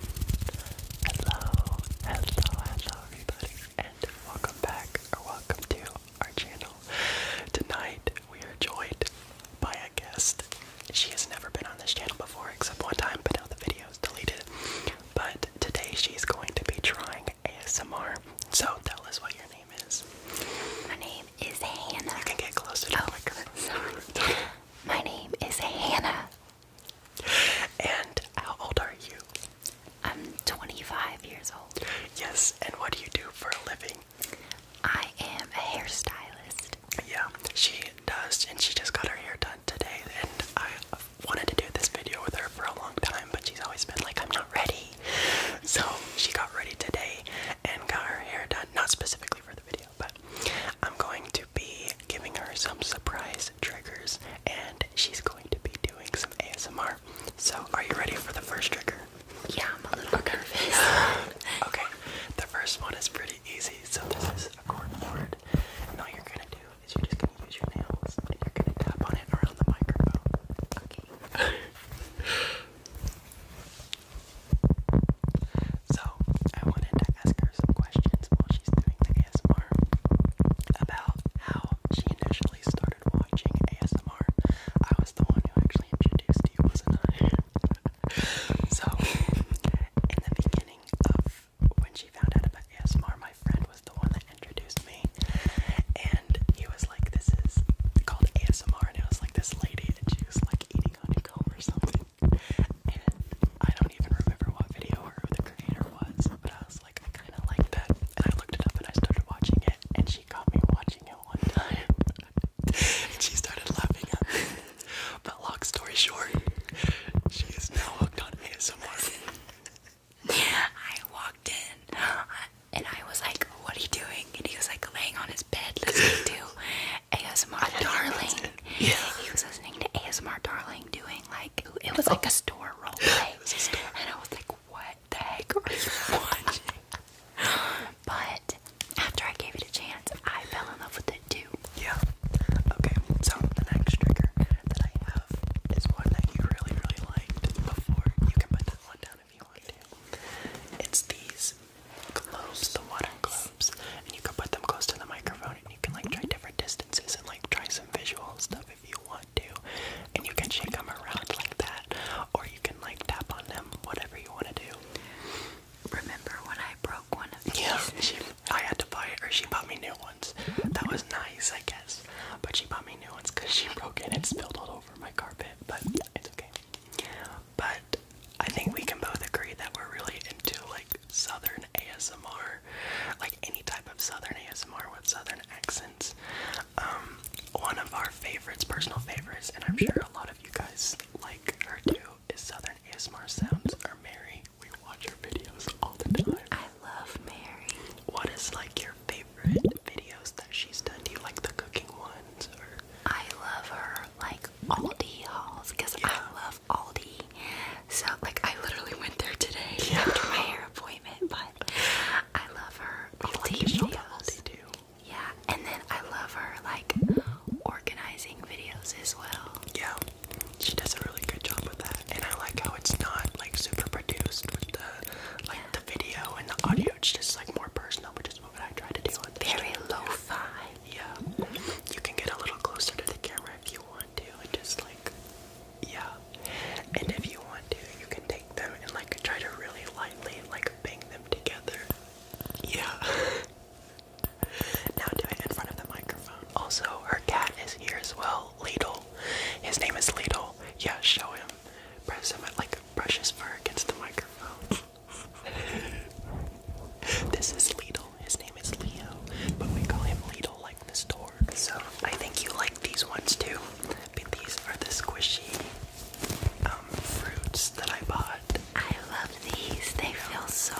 Hello, hello, hello everybody, and welcome back or welcome to our channel. Tonight we are joined by a guest. She has never been on this channel before except one time, but now the video is deleted. But today she's going to be trying ASMR. So tell us what your name is. My name is Hannah. You can get closer oh, the microphone. Sorry. My name is Hannah and how old are you? I'm 25 years old. Yes, and what do you do for a living? I am a hairstylist. Yeah, she does, and she just got her hair done today. And I wanted to do this video with her for a long time, but she's always been like, I'm not ready. So she got ready today and got her hair done, not specifically for the video, but I'm going to be giving her some surprise triggers and she's going to be doing some ASMR. So, are you ready for the first trigger? Yeah, I'm a little nervous. okay, the first one is pretty easy. So, this is a corkboard, and all you're gonna do is you're just gonna use your nails and you're gonna tap on it around the microphone. Okay. So I wanted to ask her some questions while she's doing the ASMR about how she initially started watching ASMR. I was the one who actually introduced you, wasn't I? so in the beginning of when she found out about ASMR, my friend was the one that introduced me, and he was like, "This is called ASMR," and I was like, "This lady," and she was like eating honeycomb or something. And I don't even remember what video or who the creator was, but I was like, I kind of like that. And I looked it up and I started watching it, and she caught me watching it one time. and she started laughing But long story short, she is now hooked on ASMR. I walked in uh, and I was like, What are you doing? And he was like laying on his bed let's do ASMR, darling. Yeah. He was listening to ASMR Darling doing like it was like a store role play. a store. And I was like, what the heck are but after I gave it a chance, I fell in love with it too. Yeah. Okay, so the next trigger that I have is one that you really, really liked before. You can put that one down if you want to. It's these globes, the water globes, and you can put them close to the microphone and you can like try different distances and like try some visual stuff if you want to. And you can shake them around like that, or you can like tap on them, whatever you want to do. Remember when I broke one of these? Yeah, she, I had to buy it, or she bought me new ones. That was nice, I guess. But she bought me new ones because she broke it and spilled all over my carpet. But it's okay but I think we can both agree that we're really into like southern ASMR, like any type of southern ASMR with southern accents. Um, one of our favorites, personal favorites, and I'm sure a lot of you guys like her too, is Southern ASMR Sounds or Mary. We watch her videos all the time. I love Mary. What is like your favorite videos that she's done? Do you like the cooking ones or I love her like Aldi hauls because I love Aldi. So like I literally went there today yeah. after my hair appointment, but I love her oh, Aldi like videos. Yeah, and then I love her like organizing videos as well. Yeah, she does a really good job with that, and I like how it's not like super produced with the like the video and the audio. It's just like more personal, which is what I try to do. very lo-fi. Yeah. You can get a little closer to the camera if you want to just like yeah. And if you want to, you can take them and like try to really lightly like bang them together. Yeah. now do it in front of the microphone. Also, our cat is here as well, Lidl. His name is Lidl. Yeah, show him. Press him at like brush his fur against the microphone. this is Lidl. His name is Leo, but we call him Lidl like the store. So I think you like these ones too. But these are the squishy um, fruits that I bought. I love these. They feel so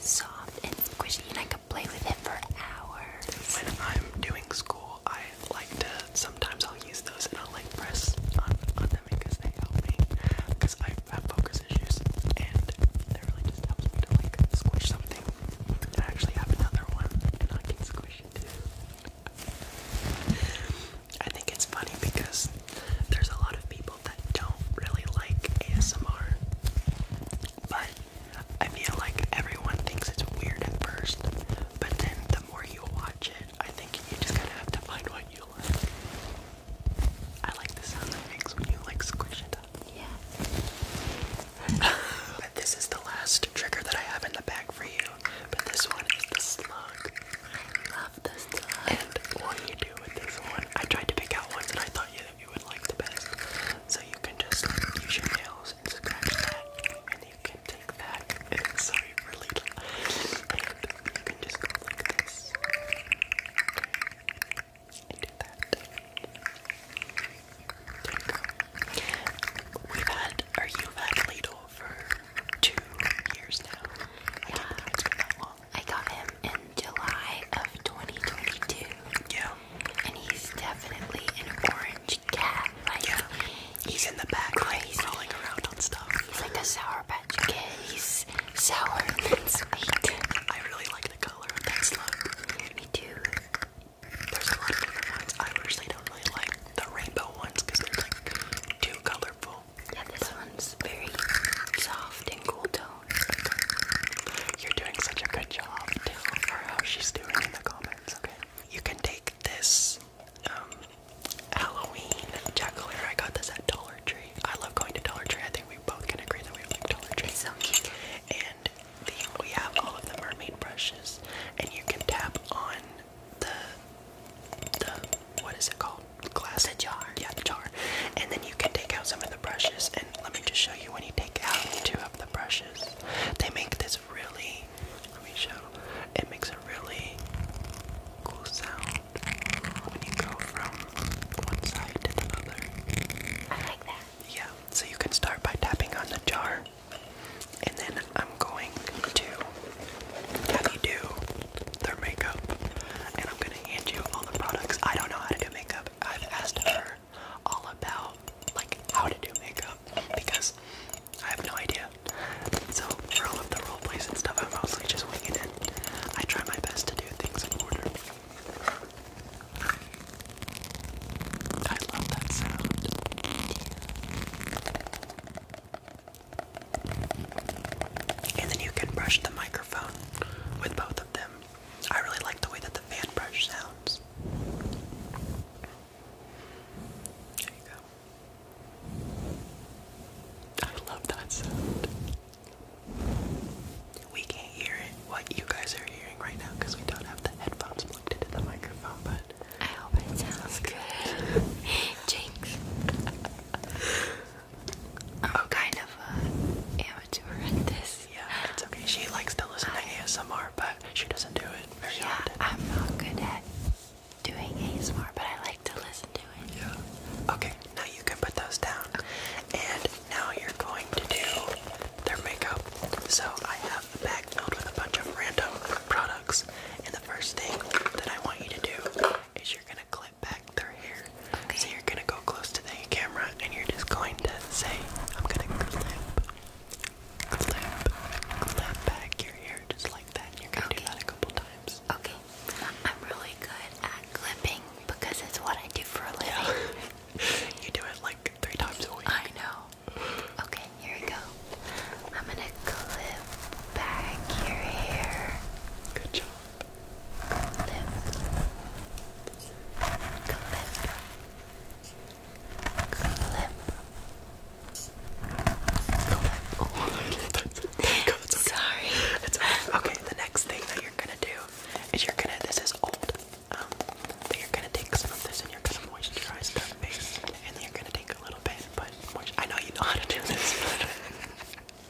soft and squishy, and I could play with it for hours. When I'm doing school, I like to. Sometimes I'll use those, and I'll like press on because they help me because I have focus issues and they really just helps me to like squish something. I actually have another one and I can squish too. I think it's funny because there's a lot of people that don't really like ASMR, but I feel like everyone thinks it's weird at first, but then the more you watch it, I think you just gotta have to find what you like. I like the sound that makes when you like squish it up. Yeah. but this is the last trigger that I have in the bag for you. But this one is the slug. I love the slug. what do you do with this one? I tried to pick out ones that I thought you, would like the best. So you can just use your nails and scratch that, and you can take that. And so you really. And I We've had, or you've had for two years now. yeah. I got him in July of 2022. Yeah. And he's definitely an orange cat. yeah. He's, in the back, crazy. like, around on stuff. He's like a Sour Patch Kid sour and sweet. I really like the color of that slug. Me too. There's a lot of different ones. I personally don't really like the rainbow ones because they're like too colorful. Yeah, this one's very soft and cool tone. You're doing such a good job. Tell her how she's doing in the comments, okay? You can take this um, Halloween jack I got this at Dollar Tree. I love going to Dollar Tree. I think we both can agree that we like Dollar Tree. It's so And we have all of the mermaid brushes, and you can tap on the the what is it called? Glass the jar. Yeah, the jar. And then you can take out some of the brushes. And let me just show you when you take out two of the brushes. They make this really. Let me show. It makes a really cool sound when you go from one side to the other. I like that. Yeah, so you can start by tapping on the jar, and then I'm going to have you do their makeup, and I'm gonna hand you all the products. I don't know how to do makeup. I've asked her all about like how to do makeup because I have no idea. So for all of the role and stuff, I'm mostly just winging it. I try my best to do things in order. I love that sound. And then you can brush the microphone with both of them. I really like the way that the fan brush sounds. There you go. I love that sound. We can't hear what you guys are hearing right now, because we don't have the headphones plugged into the microphone, but I hope it sounds good. Jinx. I'm oh. kind of an uh, amateur at this. Yeah, it's okay. She likes to listen to ASMR, but she doesn't do it very yeah, I'm not good at doing ASMR, but I like to listen to it. Yeah. Okay, now you can put those down. And now you're going to do their makeup. So I have a bag filled with a bunch of random products. And the first thing that I want you to do is you're gonna clip back their hair. Okay. So you're gonna go close to the camera and you're just going to say, I'm gonna clip, clip, clip back your hair just that. You're gonna do that a couple times. Okay. I'm really good at clipping because it's what I do for a living. you do it like three times a week. I know. Okay, here we go. I'm gonna clip back your hair. Good job. Clip. Clip. Clip okay. Sorry. okay. The next thing that you're gonna do is you're gonna. This is old. Um, but you're gonna take some of this and you're gonna moisturize that face, and then you're gonna take a little bit. But I know you know how to do this.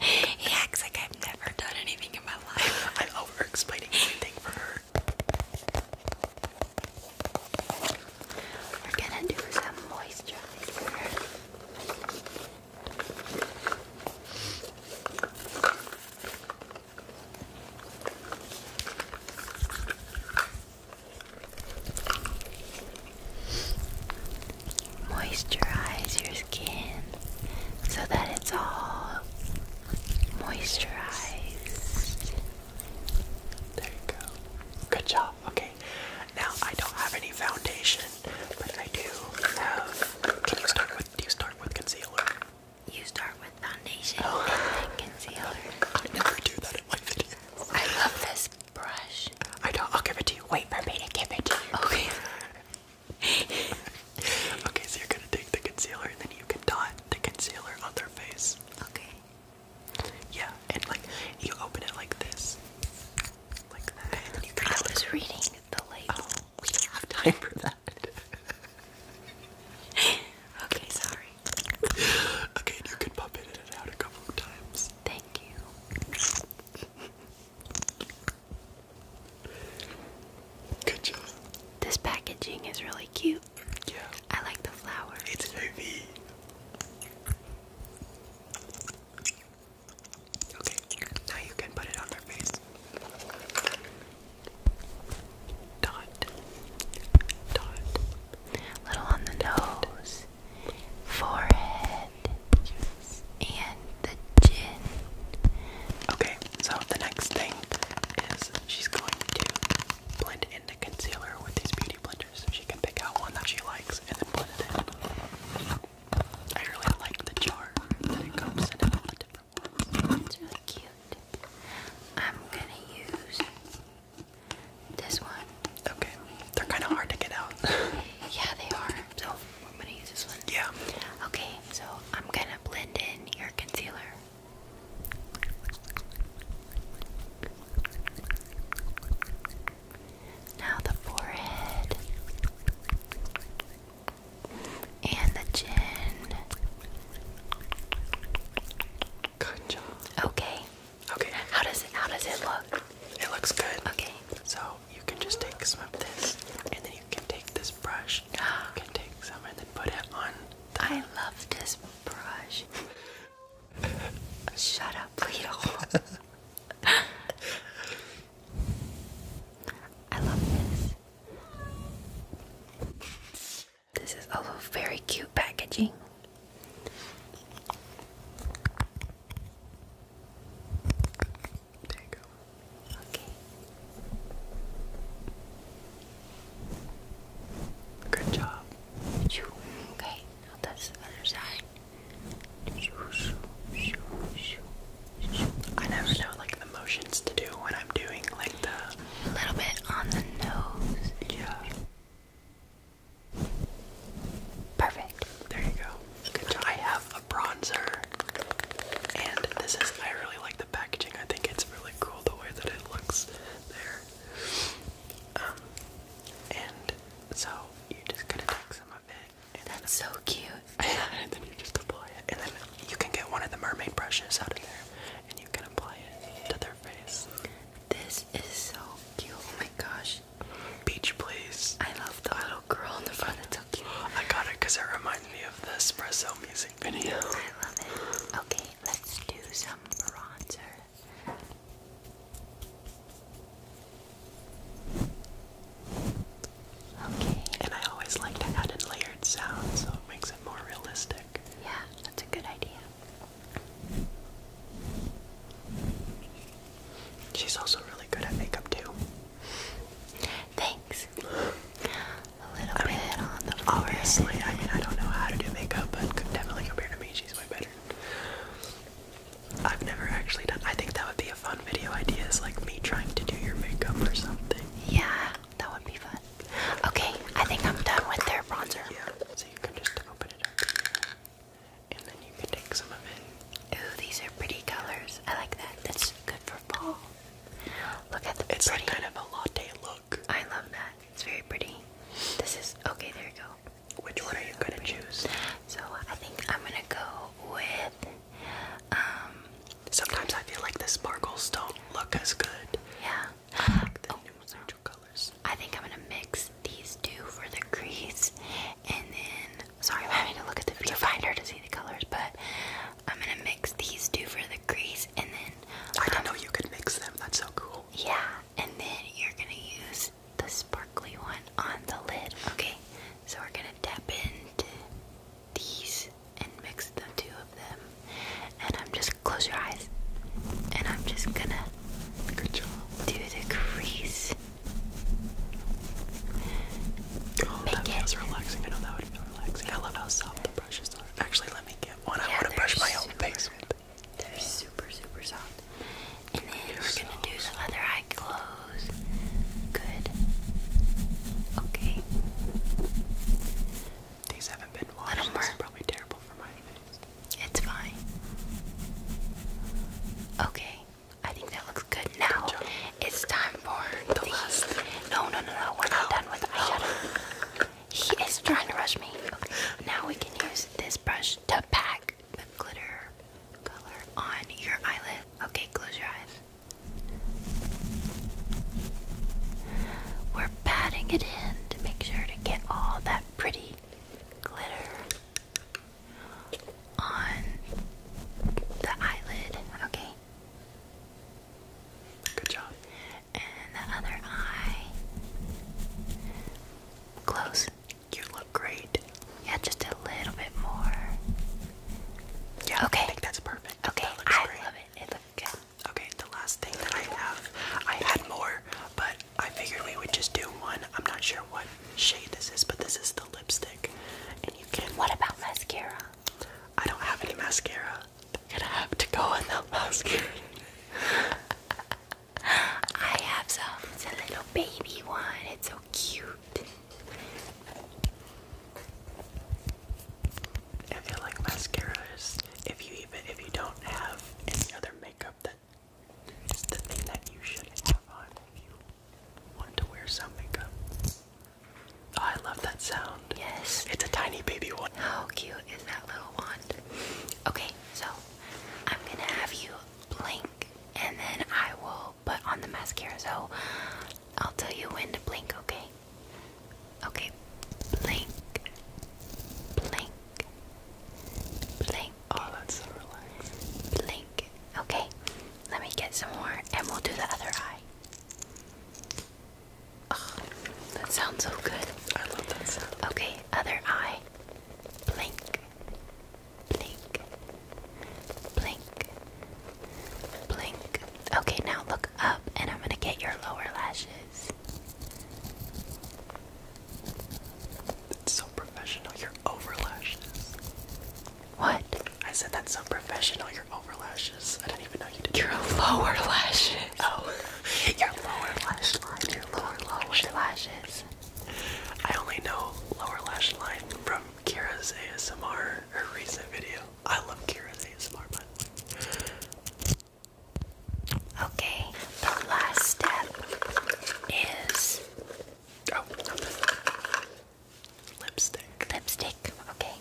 he acts like I've never done anything in my life. i over explaining everything for her. We're gonna do some moisturizer. Moisturize your skin so that it's all moisturized. There you go. Good job. Okay. Now I don't have any foundation, but I do have. Can you start with? Do you start with concealer? You start with foundation oh. and I never do that in my videos. I love this brush. I don't. I'll give it to you. Wait for me to give it to you. Okay. okay, so you're gonna take the concealer and then you can dot the concealer on their face. Okay. Yeah, and like you open it like this, like that. And you I was reading the label. Oh, we have time for that. okay, sorry. Okay, and you can pop it in and out a couple times. Thank you. Good job. This packaging is really cute. Yeah. I like the flower. It's heavy. Okay, now you can put it on their face. Dot, dot, little on the nose, forehead, and the chin. Okay, so the next thing is she's going to blend in the concealer with these beauty blender so She can pick out one that she likes and then put it in. I really like the jar that it comes in and all the different ones. It's really cute. I'm gonna use this one. Okay. They're kinda hard to get out. yeah, they are. So I'm gonna use this one. Yeah. Okay, so I'm gonna blend in your concealer. Now the forehead and the chin. Good job. Okay. Okay. How does it how does it look? It looks good. Okay. So you can just take some of this and then you can take this brush. you can take some and put it on. I love this brush. Shut up, Leo. I love this. This is also very cute packaging. Okay. Good job. okay? I never know like the motions to do when I'm doing like the. A little bit on the nose. Yeah. Perfect. There you go. I have a bronzer, and this is. I really like the packaging. I think it's really cool the way that it looks there. Um, and so you're just gonna take some of it. And That's so cute. and then you just apply it. And then you can get one of the mermaid brushes out of there and you can apply it to their face. This is so cute. Oh my gosh. Beach, please. I love the little girl in the front. It's so cute. I got it because it reminds me of the espresso music video. I love it. Okay, let's do some bronzer. Okay. And I always like to add in layered sounds so it makes it more realistic. Yeah, that's a good idea. She's also really good at makeup too. Thanks. A little bit on the Obviously, I mean I don't know how to do makeup, but could definitely compare to me. She's way better. I've never actually done. I think that would be a fun video idea. Is like me trying to do your makeup or something. Yeah, that would be fun. Okay, I think I'm done with their bronzer. Yeah. So you can just open it up and then you can take some of it. Ooh, these are pretty colors. I like that. That's good for fall. Look at the. It's kind of a latte look. I love that it's very pretty. This is okay. There you go. Which one are you gonna choose? So I think I'm gonna go with. Um. Sometimes I feel like the sparkles don't look as good. Yeah. I the oh. neutral colors. I think I'm gonna mix these two for the crease, and then sorry I'm having to look at the viewfinder to see the colors, but I'm gonna mix these two for the crease, and then. I um, didn't know you could mix them. That's so cool. Yeah, and then you're gonna use the sparkly one on the lid. Okay, so we're gonna tap into these and mix the two of them. And I'm just close your eyes. And I'm just gonna do the crease. Oh, that feels relaxing. I know that would feel relaxing. I love how soft the brushes are. Actually, let me get one. I want to brush my own face with. They're super, super soft. And then we're gonna do some other eye close. Good. Okay. These haven't been washed. probably terrible for my face. It's fine. Okay. I think that looks good now. it's time for the, the last. No, no, no, no. We're not done with eyeshadow. He is trying to rush me. Now we can use this brush to pack the glitter color on your eyelid. Okay, close your eyes. We're patting it in to make sure to get all that pretty glitter on the eyelid. Okay. Good job. And the other eye. Close. You look great. Yeah, just a little bit more. Yeah, okay. I think that's perfect. Okay, I love it. It looks good. Okay, the last thing that I have, I had more, but I figured we would just do one. I'm not sure what shade this is, but this is the lipstick. And you can. What about mascara? I don't have any mascara. They're gonna have to go in the basket. I have some. It's a little baby one. It's so cute. I feel like mascaras. If you even if you don't have any other makeup, that is the thing that you should have on if you want to wear some makeup. Oh, I love that sound. Yes. It's a tiny baby one. How cute is that little wand? Okay, so I'm gonna have you blink and then I will put on the mascara. So I'll tell you when to blink, okay? Okay, blink, blink, blink. Oh, that's so relaxing. Blink. Okay, let me get some more and we'll do the other eye. Ugh, that sounds so good. I love that sound. Okay, other eye. Blink. Blink. Blink. Blink. Okay, now look up and I'm gonna get your lower lashes. It's so professional, your overlashes. What? I said that's so professional, your lashes. I didn't even know you did. Your lower lashes. Oh, your lower lash line. Your lower, lower lashes. I only know lower lash line from Kira's ASMR, her recent video. I love Kira's ASMR, by the way. Okay, the last step is. Oh, Lipstick. Lipstick, okay.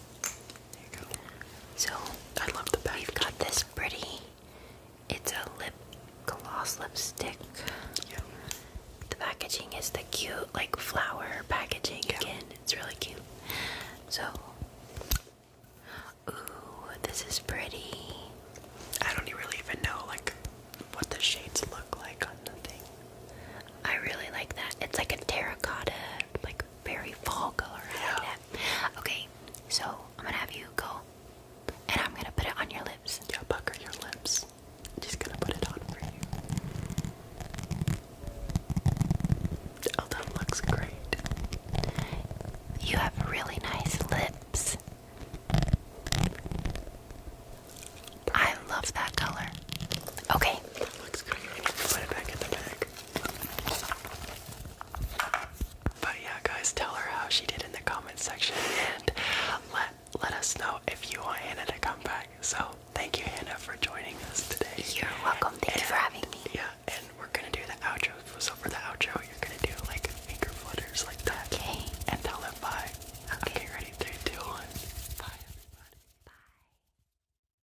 So I love the bag. you have got this pretty. It's a lip gloss lipstick. The packaging is the cute like flower packaging again. It's really cute. So ooh, this is pretty. I don't really even know like what the shades look like on the thing. I really like that. It's like a terracotta, like very fall color. Okay, so I'm gonna have you go and I'm gonna put it on your lips. Yeah, pucker your lips. I'm just gonna put it on for you. Oh, that looks great. You have really nice lips. I love that color. Okay. But yeah, guys, tell her how she did in the comment section and let let us know if you want Hannah to come back. So thank you, Hannah, for joining us today. You're welcome. Thank you for having me. Yeah, and we're gonna do the outro. So for the outro, you're gonna do like finger flutters like that. Okay. And tell them bye. okay ready? Three, two, one. Bye, everybody. Bye.